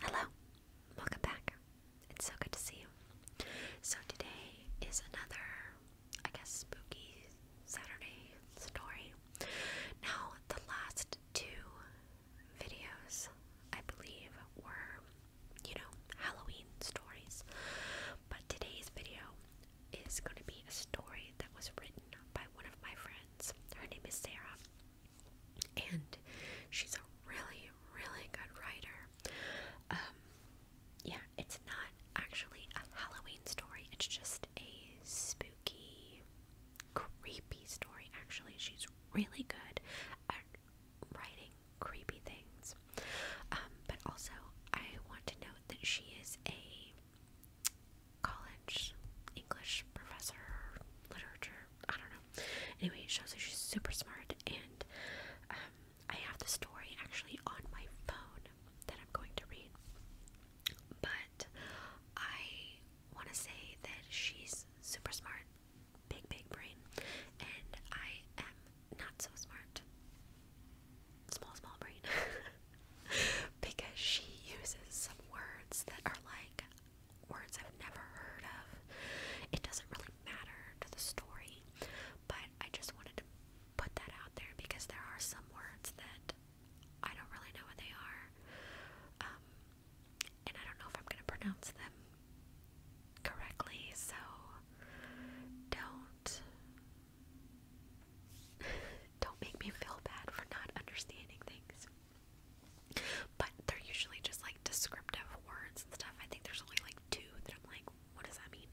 Hello, welcome back. It's so good to see you. So, today is another, I guess, spooky Saturday story. Now, the last two videos, I believe, were, you know, Halloween stories. But today's video is going to be a story that was written by one of my friends. Her name is Sarah and she's a really, really good writer. Um, yeah, it's not actually a Halloween story, it's just a spooky, creepy story. Actually, she's really good at writing creepy things. Um, but also, I want to note that she is a college English professor, literature, I don't know. Anyway, shows that she's super smart, and um, I have the story actually on my phone that I'm going to read. But I want to say that she's super smart, big, big brain, and I am not so smart, small, small brain. because she uses some words that are like words I've never heard of. It doesn't really matter to the story, but I just wanted to put that out there because there are some words that I don't really know what they are. Um, and I don't know if I'm going to pronounce them correctly, so don't don't make me feel bad for not understanding things. But they're usually just like descriptive words and stuff. I think there's only like two that I'm like, what does that mean?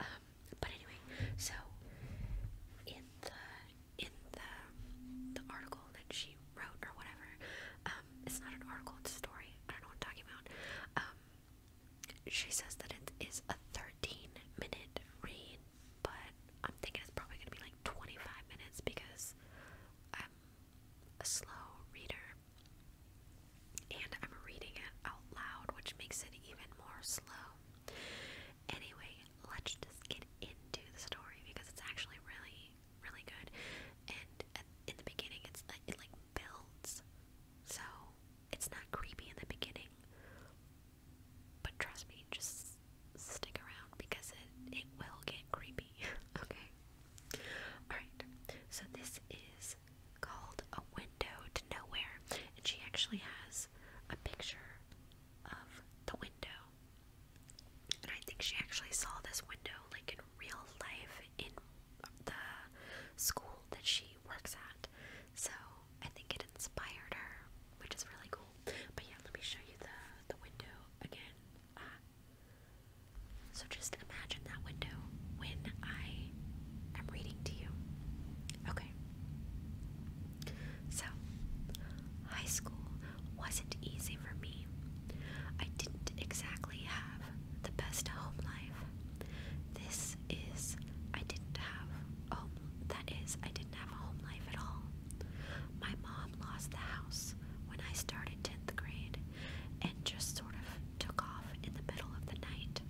Um, but anyway, so in the in the the article that she wrote or whatever, um, it's not an article, it's a story. I don't know what I'm talking about. Um, she says that it is a 13 minute read but I'm thinking it's probably gonna be like 25 minutes because I'm a slow reader and I'm reading it out loud, which makes it even more slow. Anyway, let's just get into the story because it's actually really, really good. And in the beginning, it's it like builds, so it's not creepy in the beginning. But trust me, just stick around because it, it will get creepy. okay? Alright, so this is called A Window to Nowhere, and she actually has a picture of the window. And I think she actually saw this window like in real life in the school that she works at. So I think it inspired her, which is really cool. But yeah, let me show you the the window again. Ah. so just imagine that window when I am reading to you. Okay. So, high school wasn't easy for me. I didn't exactly have the best home life. This is, I didn't have home, that is, I didn't have a home life at all. My mom lost the house when I started 10th grade and just sort of took off in the middle of the night.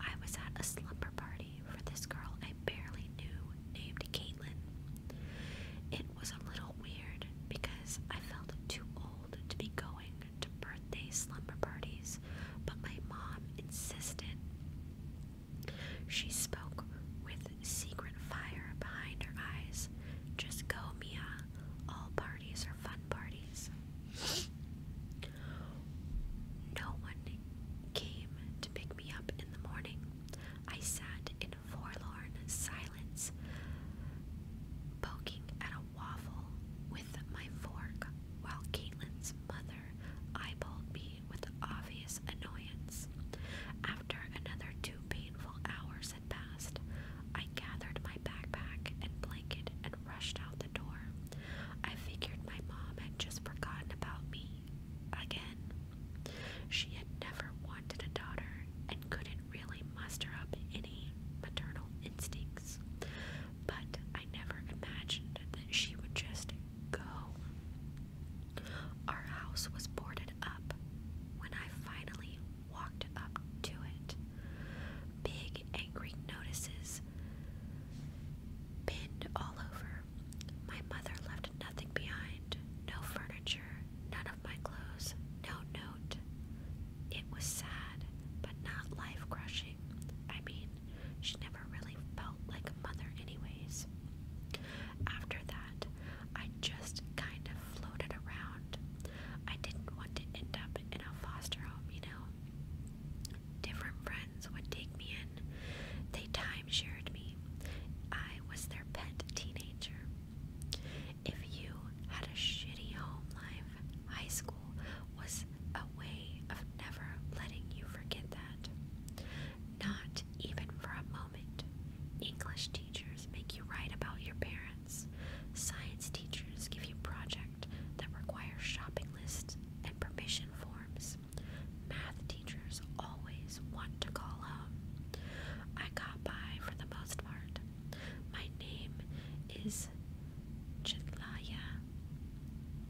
I was at a slumber party for this girl I barely knew named Caitlin. It was a little weird because I felt too old to be going to birthday slumber parties, but my mom insisted. She spoke with secret fire behind her eyes. Just go, Mia. All parties are fun parties. No one came to pick me up in the morning. I sat in forlorn silence, poking at a waffle with my fork while Caitlin's mother eyeballed me with obvious annoyance. After another two painful hours had passed, I gathered my backpack and blanket and rushed out the door. I figured my mom had just forgotten about me again. She had never wanted a daughter and couldn't really muster up any maternal instincts. But I never imagined that she would just go. Our house was boarded up when I finally walked up to it. Big angry notices pinned all over. My mother left nothing behind no furniture, none of my clothes, no note. It was sad, but not life crushing. I mean, she never really felt like a mother, anyways. After that, I just kind of floated around. I didn't want to end up in a foster home, you know. Different friends would take me in, they timeshared me. I was their pet teenager. If you had a shitty home life, high school was a way of never letting you forget that. Not even for a moment. English teachers make you write about your parents. Science teachers give you projects that require shopping lists and permission forms. Math teachers always want to call home. I got by for the most part. My name is Chitlaya.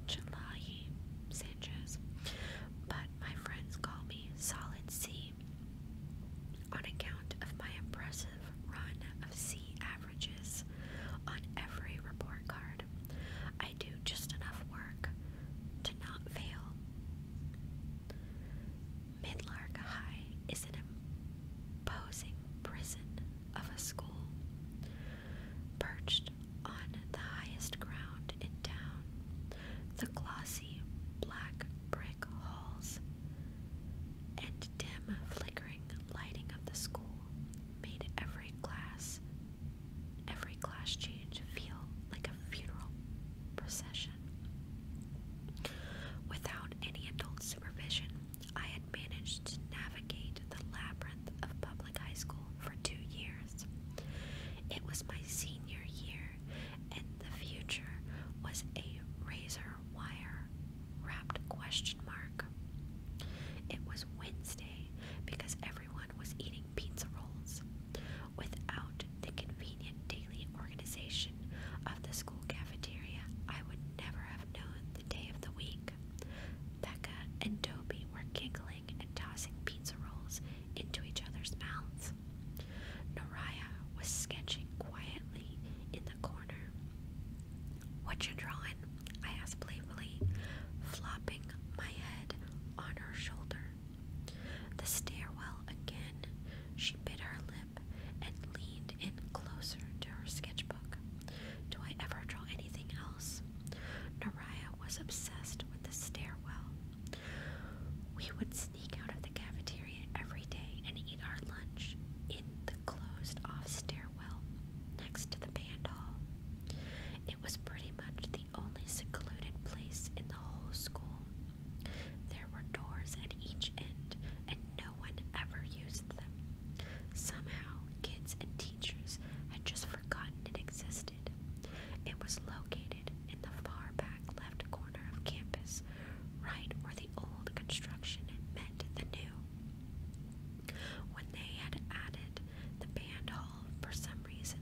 Chilayi Sanchez. But my friends call me Solid C on account of my impressive run of C averages on every report card. I do just enough work to not fail. Midlark High is an imposing prison of a school perched on the highest ground in town. The glossy black brick halls, and dim flickering lighting of the school made every class, every class change feel like a funeral procession. Without any adult supervision, I had managed to navigate the labyrinth of public high school for two years. It was my senior year and the future was a razor wire wrapped question mark. It was Wednesday because everyone was eating pizza rolls. Without the convenient daily organization of the school cafeteria, I would never have known the day of the week. Becca and Toby were giggling and tossing pizza rolls into each other's mouths. Naraya was sketching quietly in the corner. What you drawing? I asked playfully, flopping my head on her shoulder. The stairwell again, she bit her lip and leaned in closer to her sketchbook. Do I ever draw anything else? Naraya was obsessed with the stairwell. We would sneak out of the cafeteria every day and eat our lunch in the closed off stairwell next to the band hall. It was pretty much the only secluded place in the whole school. There were doors at each end, and no one ever used them. Somehow, kids and teachers had just forgotten it existed. It was located in the far back left corner of campus, right where the old construction met the new. When they had added the band hall, for some reason,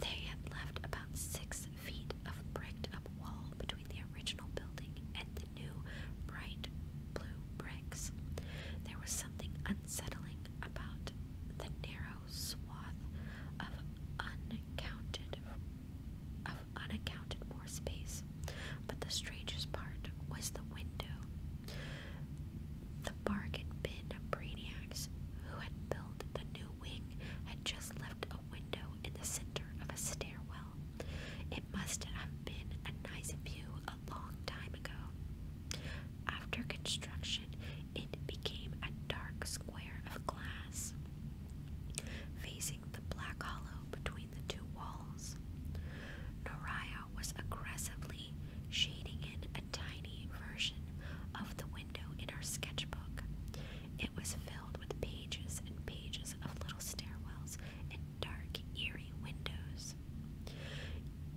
they had left about six feet of bricked up wall between the original building and the new bright blue bricks. There was something unsettling about the narrow swath of uncounted of unaccounted more space. But the strangest part was the window. The bargain bin brainiacs who had built the new wing had just left a window in the center of a stairwell. It must have been a nice view a long time ago. After construction, it became a dark square of glass, facing the black hollow between the two walls. Noraya was aggressively shading in a tiny version of the window in her sketchbook. It was filled with pages and pages of little stairwells and dark, eerie windows.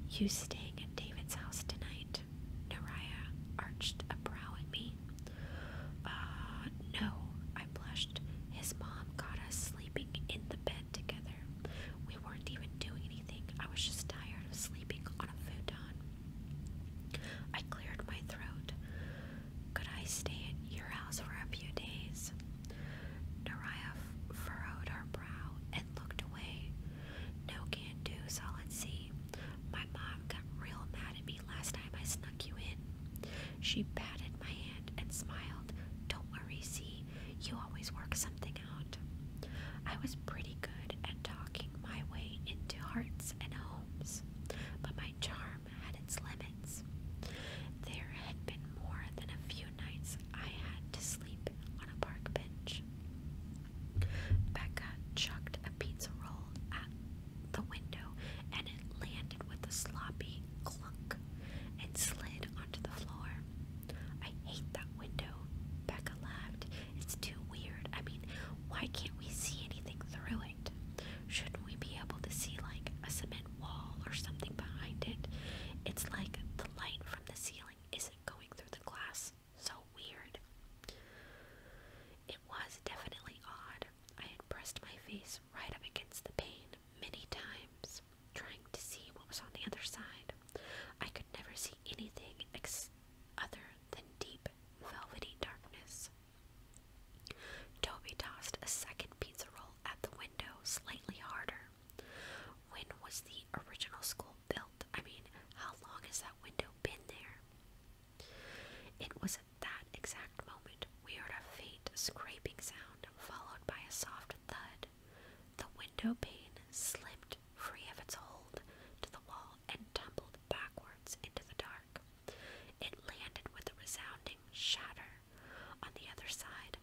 You staying at David's house tonight? it? arched a brow at me. Uh, no, I blushed. His mom caught us sleeping in the bed together. We weren't even doing anything. I was just tired of sleeping on a futon. I cleared my throat. Could I stay at your house for a few days? Naraya furrowed her brow and looked away. No can do, solid C. My mom got real mad at me last time I snuck you in. She patted my hand and smiled. Don't worry, see, you always work something out. I was pretty good at talking my way into hearts and homes, but my charm had its limits. There had been more than a few nights I had to sleep on a park bench. Becca chucked a pizza roll at the window, and it landed with a sloppy clunk and slid onto the floor. I hate that window, Becca laughed. It's too weird. I mean, why can't we see anything through it? Shouldn't we be able to see, like, a cement wall or something behind it? It's like the light from the ceiling isn't going through the glass, so weird. It was definitely odd. I had pressed my face right up against the pane many times, trying to see what was on the other side. I could never see anything other than deep, velvety darkness. Toby tossed a second pizza roll at the window slightly harder. When was the original school built? I mean, how long has that window been there? It was at that exact moment we heard a faint scraping sound followed by a soft thud. The window pane slipped free of its hold to the wall and tumbled backwards into the dark. It landed with a resounding shatter on the other side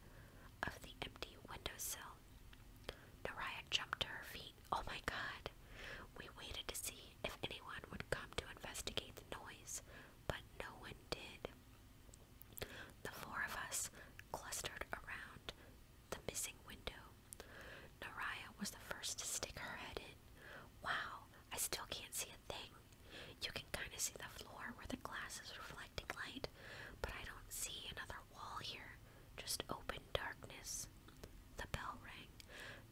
of the empty windowsill. Naraya jumped to her feet Oh my god! We waited to see if anyone would come to investigate the noise, but no one did. The four of us clustered around the missing window. Naraya was the first to stick her head in. Wow, I still can't see a thing. You can kind of see the floor where the glass is reflecting light, but I don't see another wall here, just open darkness. The bell rang.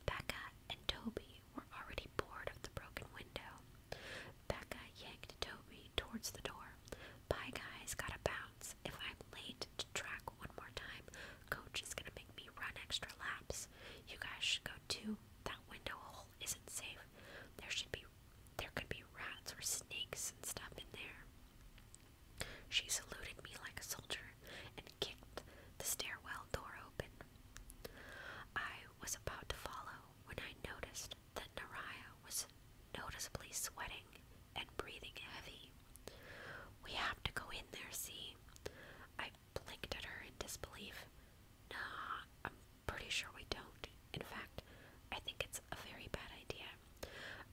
Becca and Toby were already bored of the broken window. Becca yanked Toby towards the door. Bye, guys, gotta bounce. If I'm late to track one more time, Coach is gonna make me run extra laps. You guys should go too. That window hole isn't safe. There should be, there could be rats or snakes and stuff in there. She saluted me like a soldier the stairwell door open. I was about to follow when I noticed that Naraya was noticeably sweating and breathing heavy. We have to go in there, see? I blinked at her in disbelief. Nah, I'm pretty sure we don't. In fact, I think it's a very bad idea.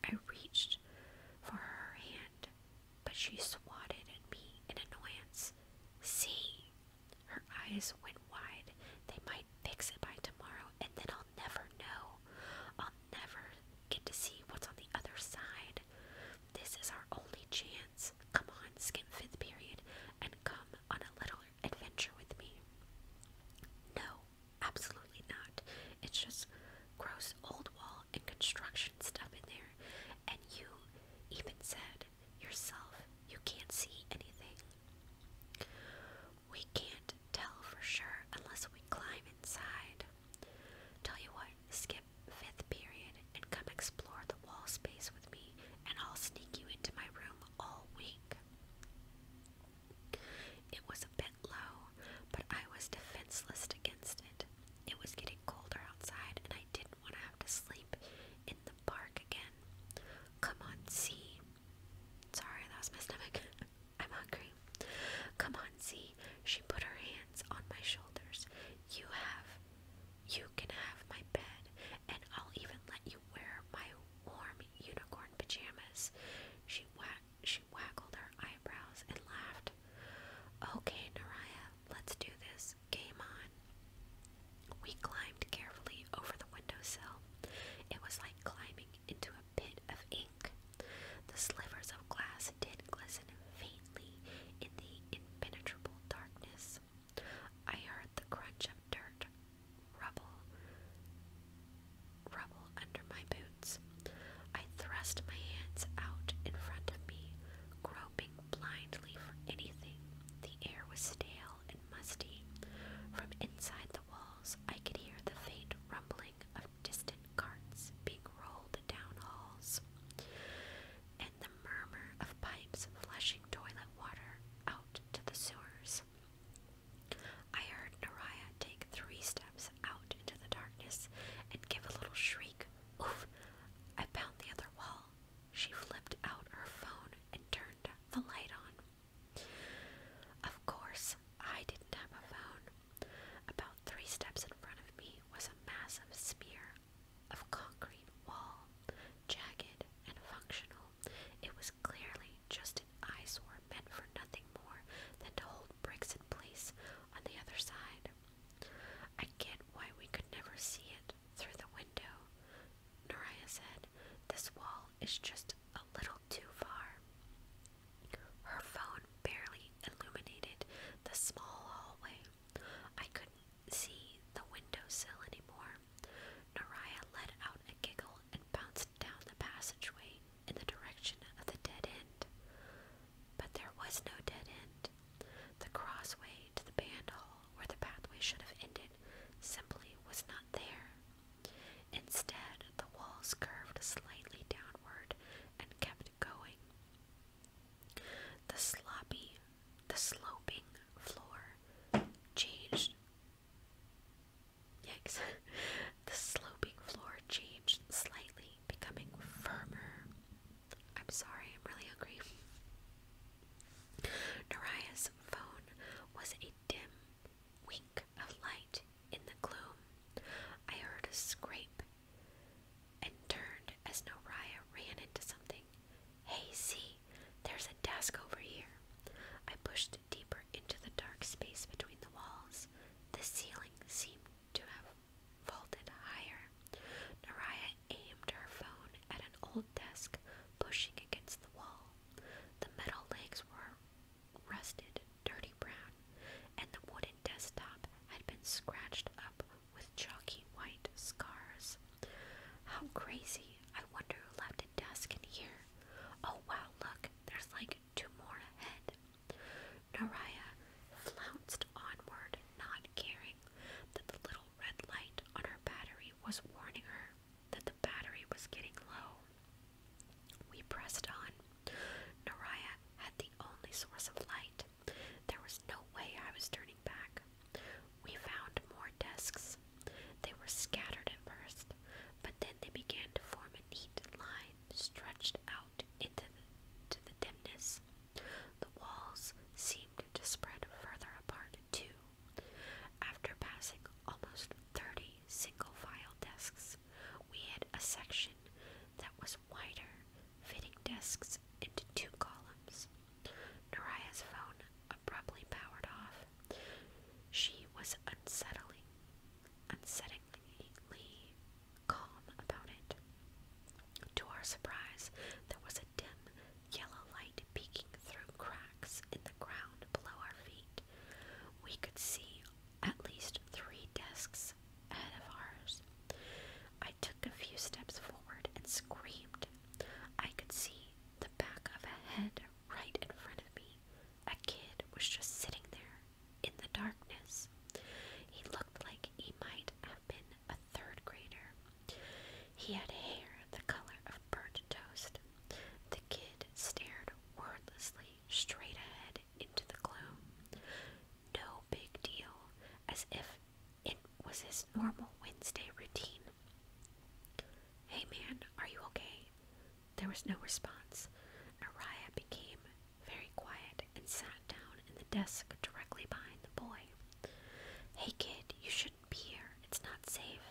I reached for her hand but she swatted at me in annoyance. See? Her eyes went wide. They might fix it by tomorrow, and then I'll never know. I'll never get to see what's on the other side. This is our only chance. Come on, skip fifth period, and come on a little adventure with me. No, absolutely not. It's just gross old wall and construction stuff in there and you even said yourself you can't see anything. We can't tell for sure unless we climb inside. Tell you what, skip fifth period and come explore the wall space with me, and I'll sneak you into my room all week. It was a bit low, but I was defenseless against it. It was getting colder outside, and I didn't do want to have to sleep in the park again. Come on, see. Sorry, that was my stomach. I'm hungry. Come on, see. She put her hands on my shoulders. You have. You can have my bed, and I'll even let you wear my warm unicorn pajamas. She wag she waggled her eyebrows and laughed. Okay, Naraya, let's do this lights on. We climbed carefully over the windowsill. It was like climbing into a pit of ink. The slivers of glass did glisten faintly in the impenetrable darkness. I heard the crunch of dirt, rubble, rubble under my boots. I thrust my hands out in front of me, groping blindly for anything. The air was stale and musty. From inside the walls, I could hear the faint rumbling of distant carts being rolled down halls, and the murmur of pipes flushing toilet water out to the sewers. I heard Naraya take three steps out into the darkness and give a little shriek. Oof! I found the other wall. She flipped out her phone and turned the light on. Of course, I didn't have a phone. About three steps in front of me was a massive sphere of concrete wall, jagged and functional. It was clearly just an eyesore meant for nothing more than to hold bricks in place on the other side. I get why we could never see it through the window, Naraya said. This wall is just a little too far. Her phone barely illuminated the small hallway. I couldn't see the windowsill anymore. Naraya let out a giggle and bounced down the passageway in the direction of the dead end. But there was no dead end. The crossway to the band hall, where the pathway should have ended, simply was not there. Instead, the walls curved slightly downward and kept going. The sloppy, the sloping floor changed. Yikes. the sloping floor changed slightly, becoming firmer. I'm sorry, I'm really hungry. Nariah's phone was a dim wink of light in the gloom. I heard a scrape and turned as Nariah ran into something. Hey, there's a desk over here. I pushed deeper into the dark space between the walls. The ceiling seemed to have vaulted higher. Naraya aimed her phone at an old desk pushing against the wall. The metal legs were rusted, dirty brown, and the wooden desktop had been scratched up with chalky white scars. How crazy! I wonder who left a desk in here. Oh wow, look, there's like two more ahead. Naraya flounced onward, not caring that the little red light on her battery was warning her that the battery was getting low. We pressed on. Naraya had the only source of light. There was no way I was turning back. We found more desks. They were scattered at first, but then they began to form a neat line stretched out into to the dimness. The walls seemed to spread further apart, too. After passing almost 30 single file desks, we had a section that was wider, fitting desks into two columns. Naraya's phone abruptly powered off. She was unsettling, unsettlingly calm about it. To our surprise, there was a dim yellow light peeking through cracks in the ground below our feet. We could see at least three desks ahead of ours. I took a few steps forward and screamed. I could see the back of a head right in front of me. A kid was just sitting there in the darkness. He looked like he might have been a third grader. He had hair the color of burnt toast. The kid stared wordlessly straight ahead into the gloom. No big deal, as if it was his normal Wednesday routine. Hey man, are you okay? There was no response. Araya became very quiet and sat down in the desk directly behind the boy. Hey kid, you shouldn't be here. It's not safe.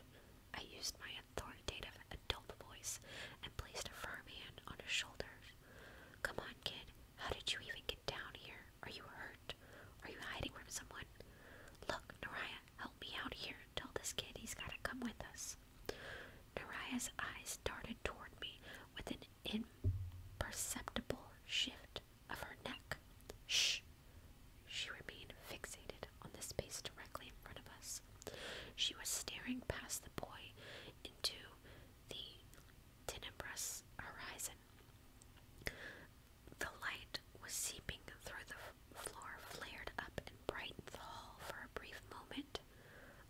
I used my authoritative adult voice and placed a firm hand on his shoulders. Come on, kid. How did you even get down here? Are you hurt? Are you hiding from someone? Look, Naraya, help me out here. Tell this kid he's gotta come with us. Naraya's eyes darted toward me with an imperceptible shift of her neck. Shh! She remained fixated on the space directly in front of us. She was staring past the boy into the tenebrous horizon. The light was seeping through the floor, flared up and brightened the hall for a brief moment.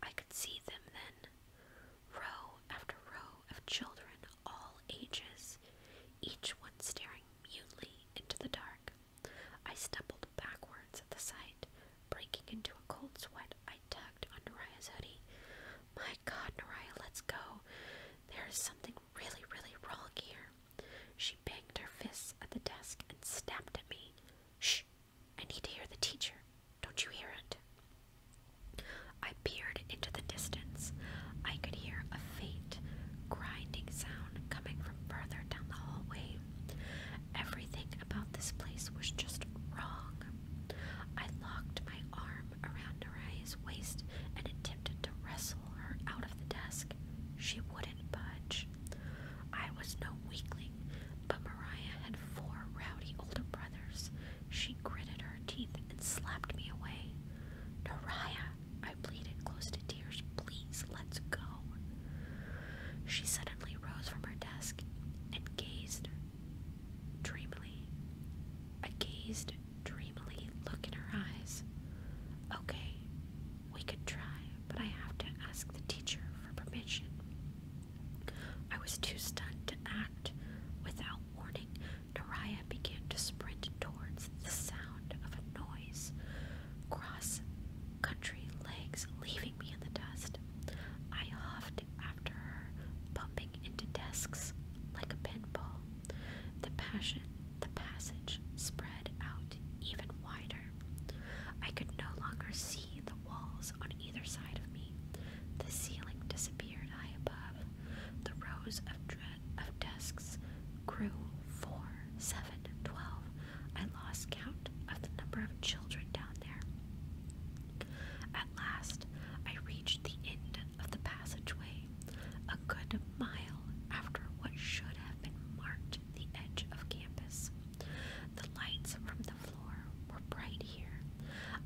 I could see them then, row after row of children, all ages, each one staring mutely into the dark. I stumbled backwards at the sight, breaking into a cold sweat. I tugged on Nariah's hoodie. My God, Nariah, let's go. There is something really, really wrong here. She banged her fists at the desk and snapped at me. Shh! I need to hear the teacher. Don't you hear it? I peered into the distance. I could hear a faint, grinding sound coming from further down the hallway. Everything about this place was just wrong. I locked my arm around Mariah's waist and attempted to wrestle her out of the desk. She wouldn't budge. I was no weakling, but Mariah had four rowdy older brothers. She gritted her teeth and slapped me away. Naraya, I pleaded close to tears, please let's go. She suddenly rose from her desk and gazed dreamily. I gazed dreamily look in her eyes. Okay, we could try, but I have to ask the teacher for permission. I was too stunned to act. Without warning, Nariah began to sprint towards the sound of a noise. Cross country legs leaving me in the dust. I huffed after her, bumping into desks like a pinball. The passion, the passage spread out even wider. I could no longer see the walls on either side of me. The ceiling disappeared high above. The rows of dread of desks grew four, seven, twelve. I lost count of the number of children down there. At last, I reached the end of the passageway, a good mile after what should have been marked the edge of campus. The lights from the floor were bright here.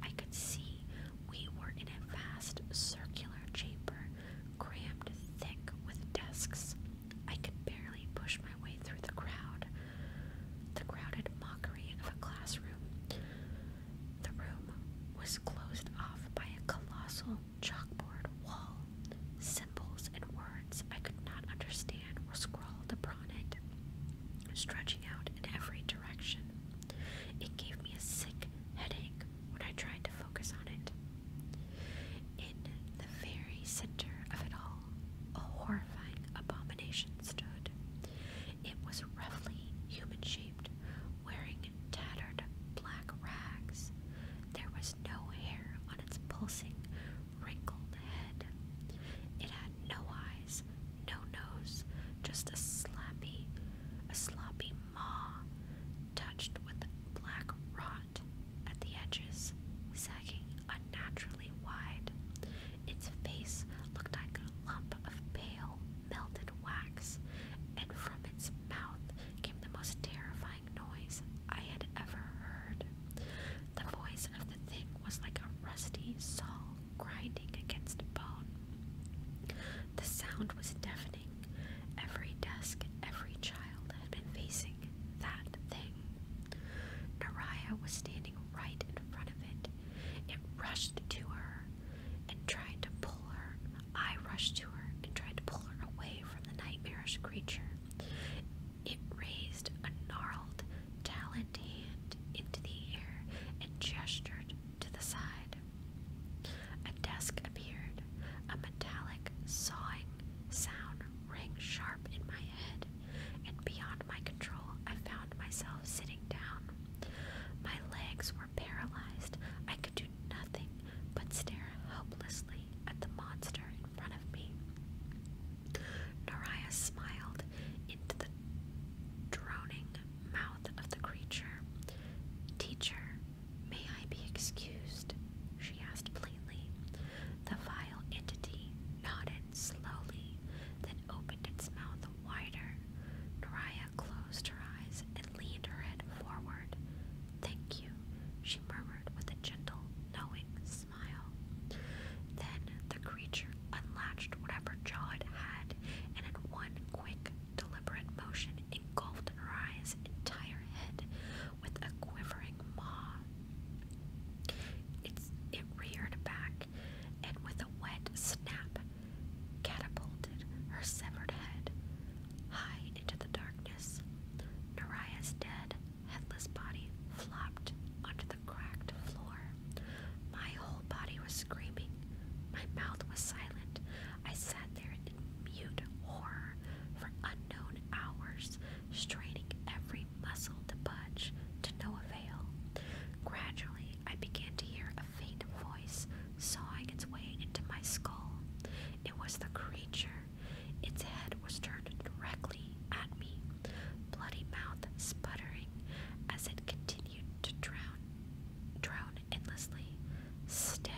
I could see we were in a vast circular chamber, crammed thick with desks. I could barely push my way through the crowd. The crowded mockery of a classroom. The room was closed off by a colossal chalkboard wall. Symbols and words I could not understand were scrawled upon it, stretching out in every direction. It gave me a sick headache when I tried to focus on it. In the very center of it all, a horrifying abomination stood. It was roughly human shaped, wearing tattered black rags. There was no hair on its pulsing, wrinkled head. It had no eyes, no nose, just a sloppy, a sloppy maw, touched with black rot at the edges, sagging unnaturally wide. Its face looked like a lump of pale, melted wax, and from its mouth came the most terrifying noise I had ever heard. The voice of the thing was like a rusty saw grinding against bone. The sound was deafening Every desk, every child had been facing that thing. Naraya was standing right in front of it. It rushed to her and tried to pull her. I rushed to her and tried to pull her away from the nightmarish creature. It raised a gnarled, taloned hand into the air and gestured to the side. A desk appeared. A metallic, sawing sound rang sharp in my head, and beyond my control, I found myself sitting down. My legs were paralyzed. I could do nothing but stare helplessly at the monster in front of me. Naraya smiled into the droning mouth of the creature. Teacher, May I be excused? she asked plainly. The vile entity nodded slowly, then opened its mouth wider. Naraya closed her eyes and leaned her head forward. Thank you, she murmured with a gentle, knowing smile. Then the creature unlatched whatever jaw it had, and in one quick deliberate motion engulfed Orion's entire head with a quivering maw. It's, it reared back and, with a wet snap, catapulted her severed head high into the darkness. Naria's dead, headless body flopped onto the cracked floor. My whole body was screaming. My mouth was silent. I sat there mute horror for unknown hours, straining every muscle to budge, to no avail. Gradually, I began to hear a faint voice sawing its way into my skull. It was the creature. Its head was turned directly at me, bloody mouth sputtering as it continued to drown, drown endlessly. Stay!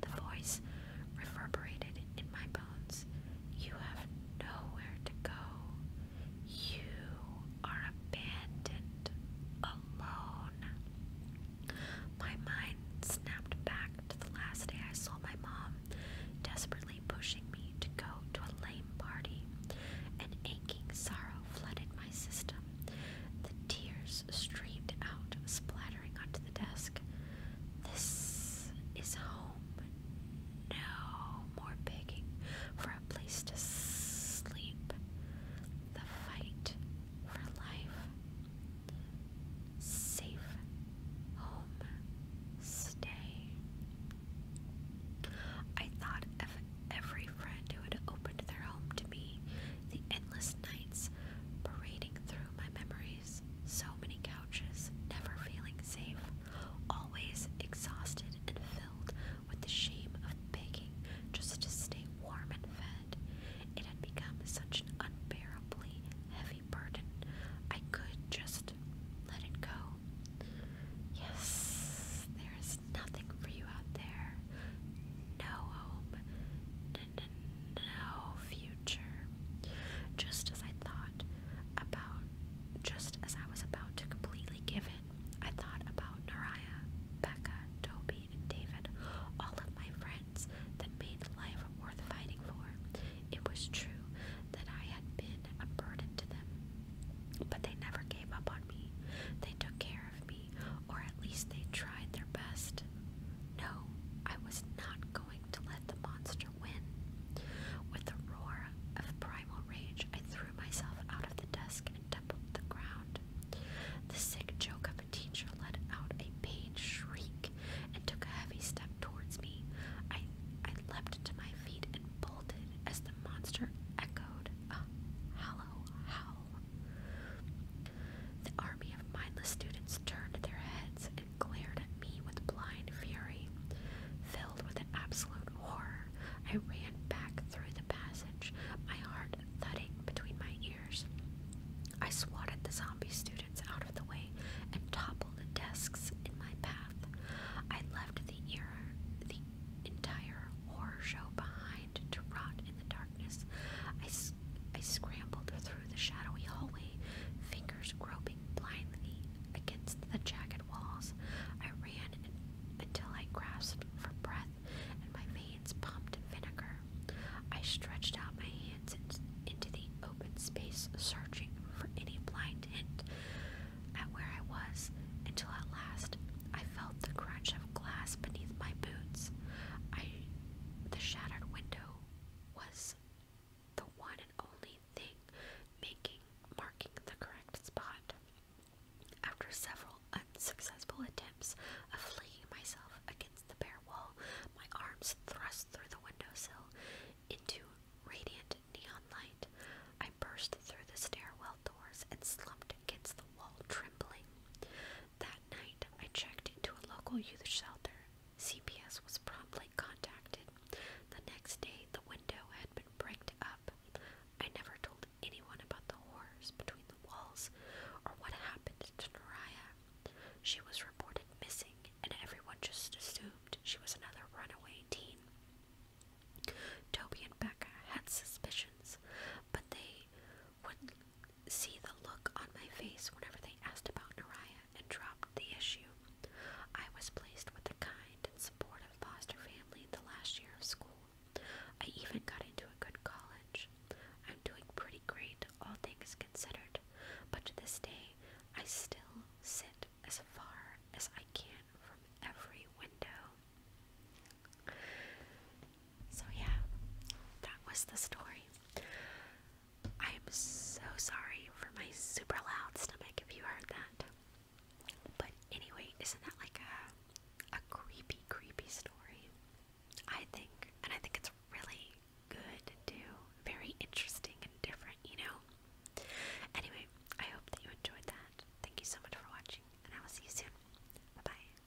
The voice reverberated in my bones. You have nowhere to go. You are abandoned, alone. My mind snapped back to the last day I saw my mom, desperately pushing me to go to a lame party. An aching sorrow flooded my system. The tears streamed out, splattering onto the desk. This is home. No more begging for a place to sleep. The fight for life. Safe home stay. I thought of every friend who had opened their home to me, the endless nights parading through my memories, so many couches, never feeling safe, always exhausted and filled with the shame of begging just to stay warm and fed. It had become such an unbearably heavy burden. I could just let it go. Yes, there is nothing for you out there. No home. No future. Just as I thought about, just as I was about to completely give in, I thought about Naraya, Becca, Toby, and David, all of my friends that made life worth fighting for. It was true that I had been a burden to them, but they never gave up on me. They took care of me or at least they tried their best. No, I was not going to let the monster win. With a roar of primal rage, I threw myself out of the desk and toppled the ground. The sick joke of a teacher let out a pained shriek and took a heavy step towards me. I, I leapt to my feet and bolted as the monster echoed a hollow howl. The army of mindless students turned their heads and glared at me with blind fury. Filled with an absolute horror, I ran back through the passage, my heart thudding between my ears. I swatted the zombie students out of the way and toppled the desks in my path. I left the era, the entire horror show behind to rot in the darkness. I, I scrambled through the shadowy hallway, fingers groping blindly against the jagged walls. I ran until I grasped for breath and my veins pumped vinegar. I stretched out my hands into the open space, searching for any blind hint at where I was, until at last I felt the crunch glass beneath my boots. I the shattered window was the one and only thing making marking the correct spot. After several unsuccessful attempts of flinging myself against the bare wall, my arms thrust through the windowsill into radiant neon light. I burst through the stairwell doors and slumped against the wall, trembling. That night, I checked into a local youth shelter. CPS was promptly contacted. The next day, the window had been bricked up. I never told anyone about the wars between the walls or what happened to Mariah. She was reported missing, and everyone just assumed she was another runaway teen. Toby and Becca had suspicions, but they would see the look on my face whenever they asked about Nariah and dropped the issue. I was placed with a kind and supportive foster family in the last year of school. I even got into a good college. I'm doing pretty great, all things considered, but to this day, I still sit as far as I can from every window. So, yeah, that was the story. I am so sorry for my super loud stomach if you heard that. But anyway, isn't that like a, a creepy, creepy story? I think, and I think it's really good too. Very interesting and different, you know? Anyway, I hope that you enjoyed that. Thank you so much for watching, and I will see you soon. Bye bye.